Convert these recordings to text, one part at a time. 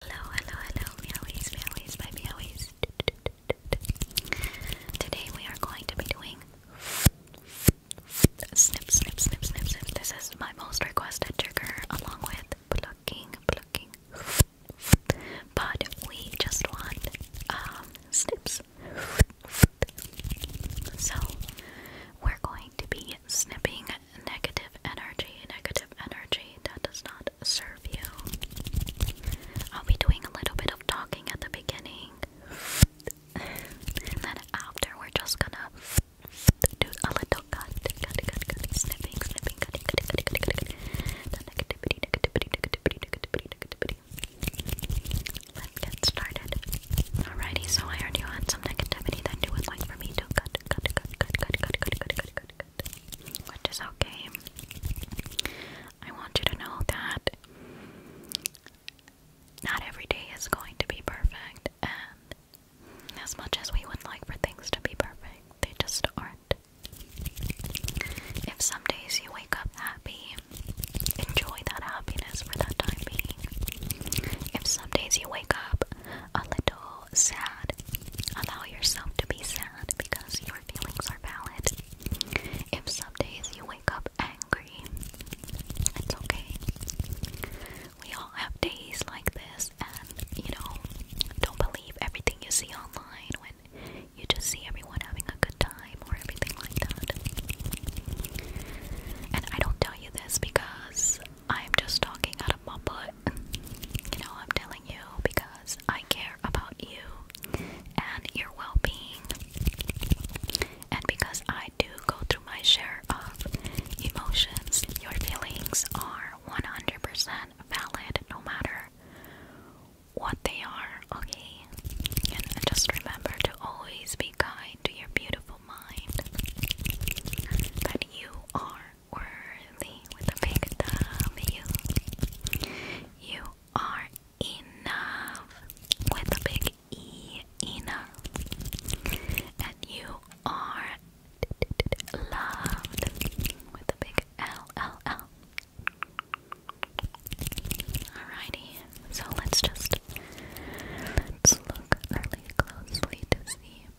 Hello, hello, hello, meowies, meowies, my meowies. Today we are going to be doing snip, snip, snip, snip, snip. This is my most requested trigger, along with plucking, plucking. But we just want um, snips. So we're going to be snipping negative energy, negative energy that does not serve you. I'll be doing a little bit of talking at the beginning, and then after, we're just gonna do a little cut, snipping, snipping, Let's get started. Alrighty, so I already had some negativity that you would like for me to cut, cut, cut, cut, cut, cut, cut, cut, cut, cut, which is okay. I want you to know that not every day is going to be perfect, and as much as we would like for things to be perfect, they just aren't. If some days you wake up happy, enjoy that happiness for that time being. If some days you wake up a little sad, allow yourself to be sad because your feelings are valid. If some days you wake up angry, it's okay. We all have days like this, and you know, don't believe everything you see online when you just see everyone having a good time or everything like that. And I don't tell you this because I'm just talking out of my butt. You know, I'm telling you because I care about you and your well being. And because I do go through my share of emotions, your feelings are 100% valid no matter what they are, okay? And just remember to always be kind to your beautiful mind that you are worthy with a big W. You are enough with a big E. Enough. And you are loved with a big L. L. L. Alrighty. So let's just let's look really closely to see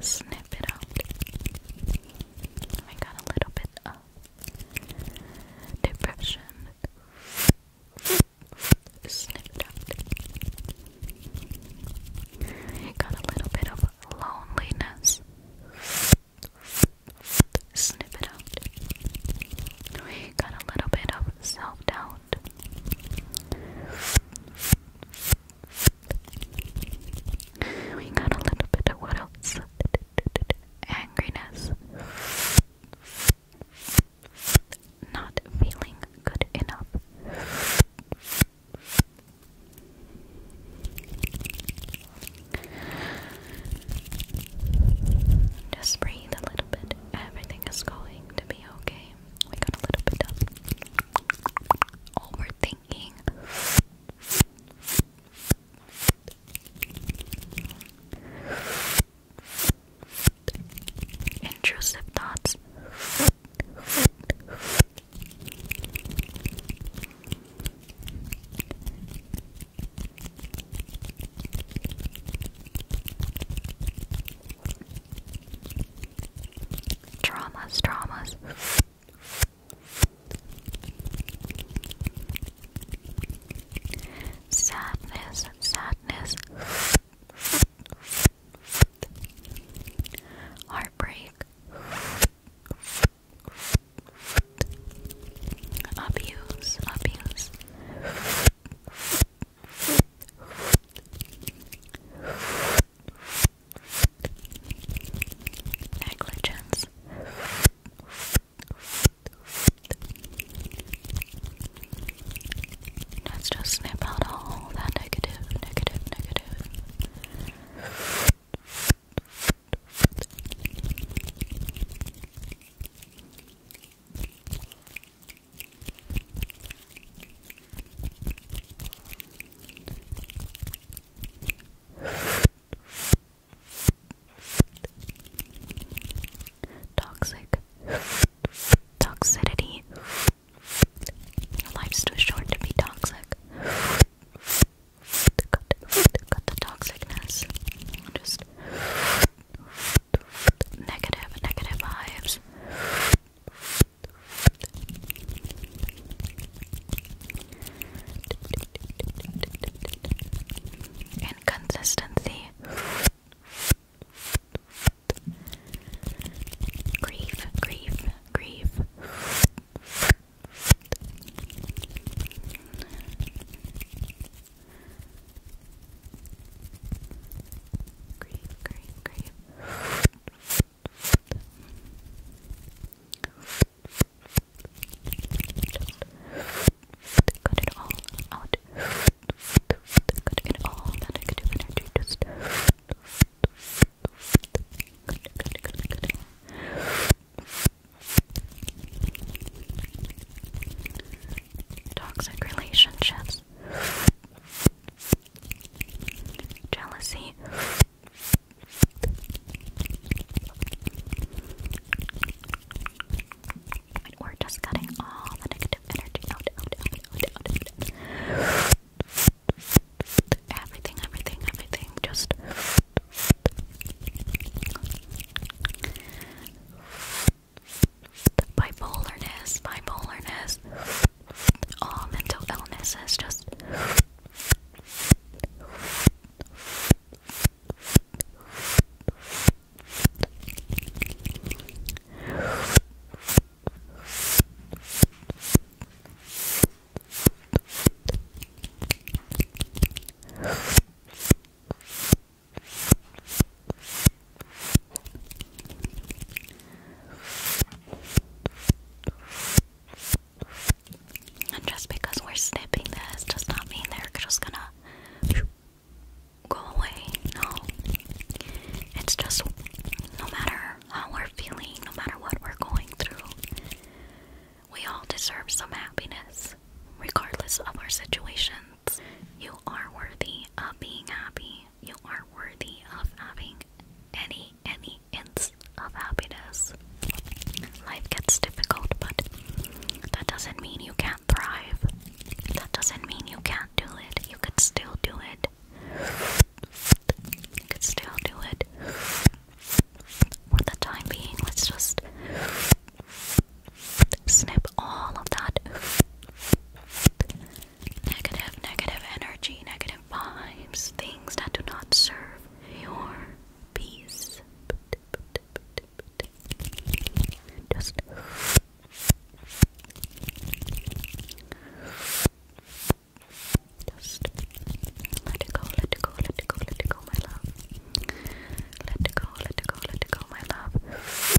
snip it out. I got a little bit of depression. Snip it out. got a little bit of loneliness. Snip it out. got a little bit of self doubt. We got a little bit of what else? Angriness. Not feeling good enough. Just breathe a little bit. Everything is going to be okay. We got a little bit of Overthinking. Intrusive thoughts. Traumas, traumas. Sadness, sadness. Heartbreak. Abuse, abuse negligence let's just snip out all that negative, negative, negative Toxic. Toxicity. life's too short to be toxic. Cut, the toxicness. Just negative, negative vibes. Inconsistency. grief, grief. Grief, grief, grief. Got it all out. Got it all that negative energy. Just cut it, cut it, cut it, cut it. Toxic relationships. Jealousy. We're just cutting all the negative energy out, Everything, everything, everything. Just. Bipolarness, bipolarness all mental illness is just and just because we're snipping this does not mean they're just gonna go away. No. It's just no matter how we're feeling, no matter what we're going through, we all deserve some happiness, regardless of our situations. You are worthy of being happy you are worthy of having any any hints of happiness. Life gets difficult, but that doesn't mean you can't thrive. That doesn't mean you can't do it. You could still do it. You could still do it. For the time being, let's just snip all of that negative, negative energy, negative vibes, things that do not serve your peace. Just let it go, let it go, let it go, let it go, my love. Let it go, let it go, let it go, my love.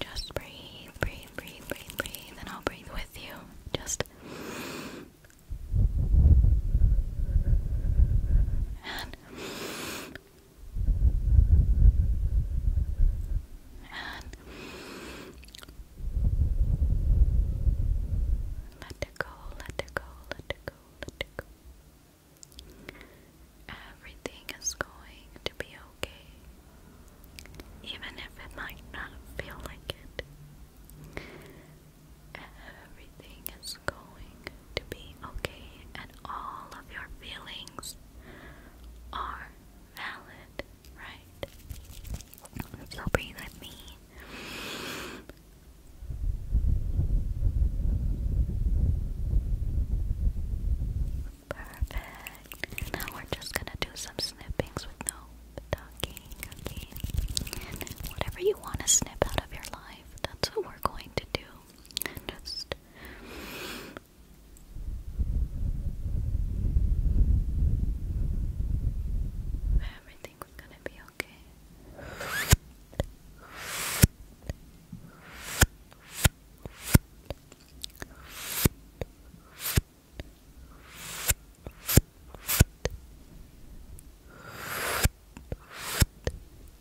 Just breathe, breathe, breathe, breathe, breathe, and I'll breathe with you. Just and let it go, let it go, let it go, let it go. Everything is going to be okay, even if it might not feel like it. Everything is going to be okay, and all of your feelings are valid, right? So breathe with me. Perfect. Now we're just gonna do some snippings with no talking, whatever you want to snip out of your life, that's what we're going to do. just it. Everything's gonna be okay.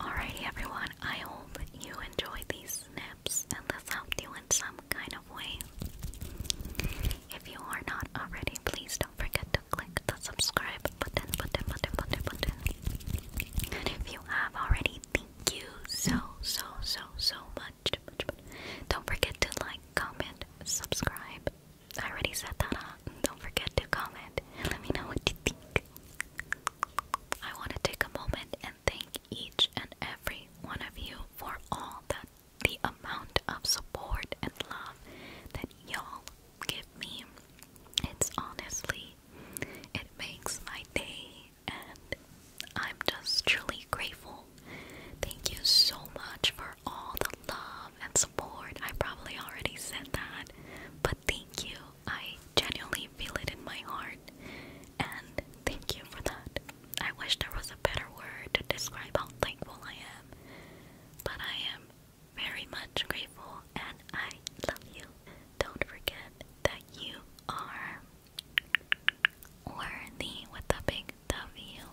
Alrighty, everyone, I hope you enjoyed these snaps and this helped you in some kind of way. If you are not already, please don't forget to click the subscribe button, button, button, button, button. if you have already, thank you so, so, so, so much. Don't forget to like, comment, subscribe. I already said that, huh? Don't forget to comment. Let me know what you think. I want to take a moment and thank each and every one of you for all that the amount of support and love that y'all give me. It's honestly, it makes my day and I'm just truly grateful. Thank you so much for all the love and support. I probably already said that, but thank you. I genuinely feel it in my heart, and thank you for that. I wish there was a better word to describe how thankful I am, but I am very much grateful and I love you. Don't forget that you are or with a big W.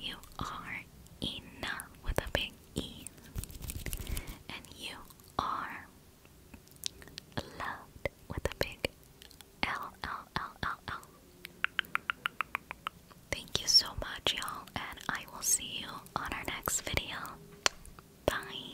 You are enough with a big E. And you are loved with a big L L L L. Thank you so much, y'all, and I will see you on our next video. Bye.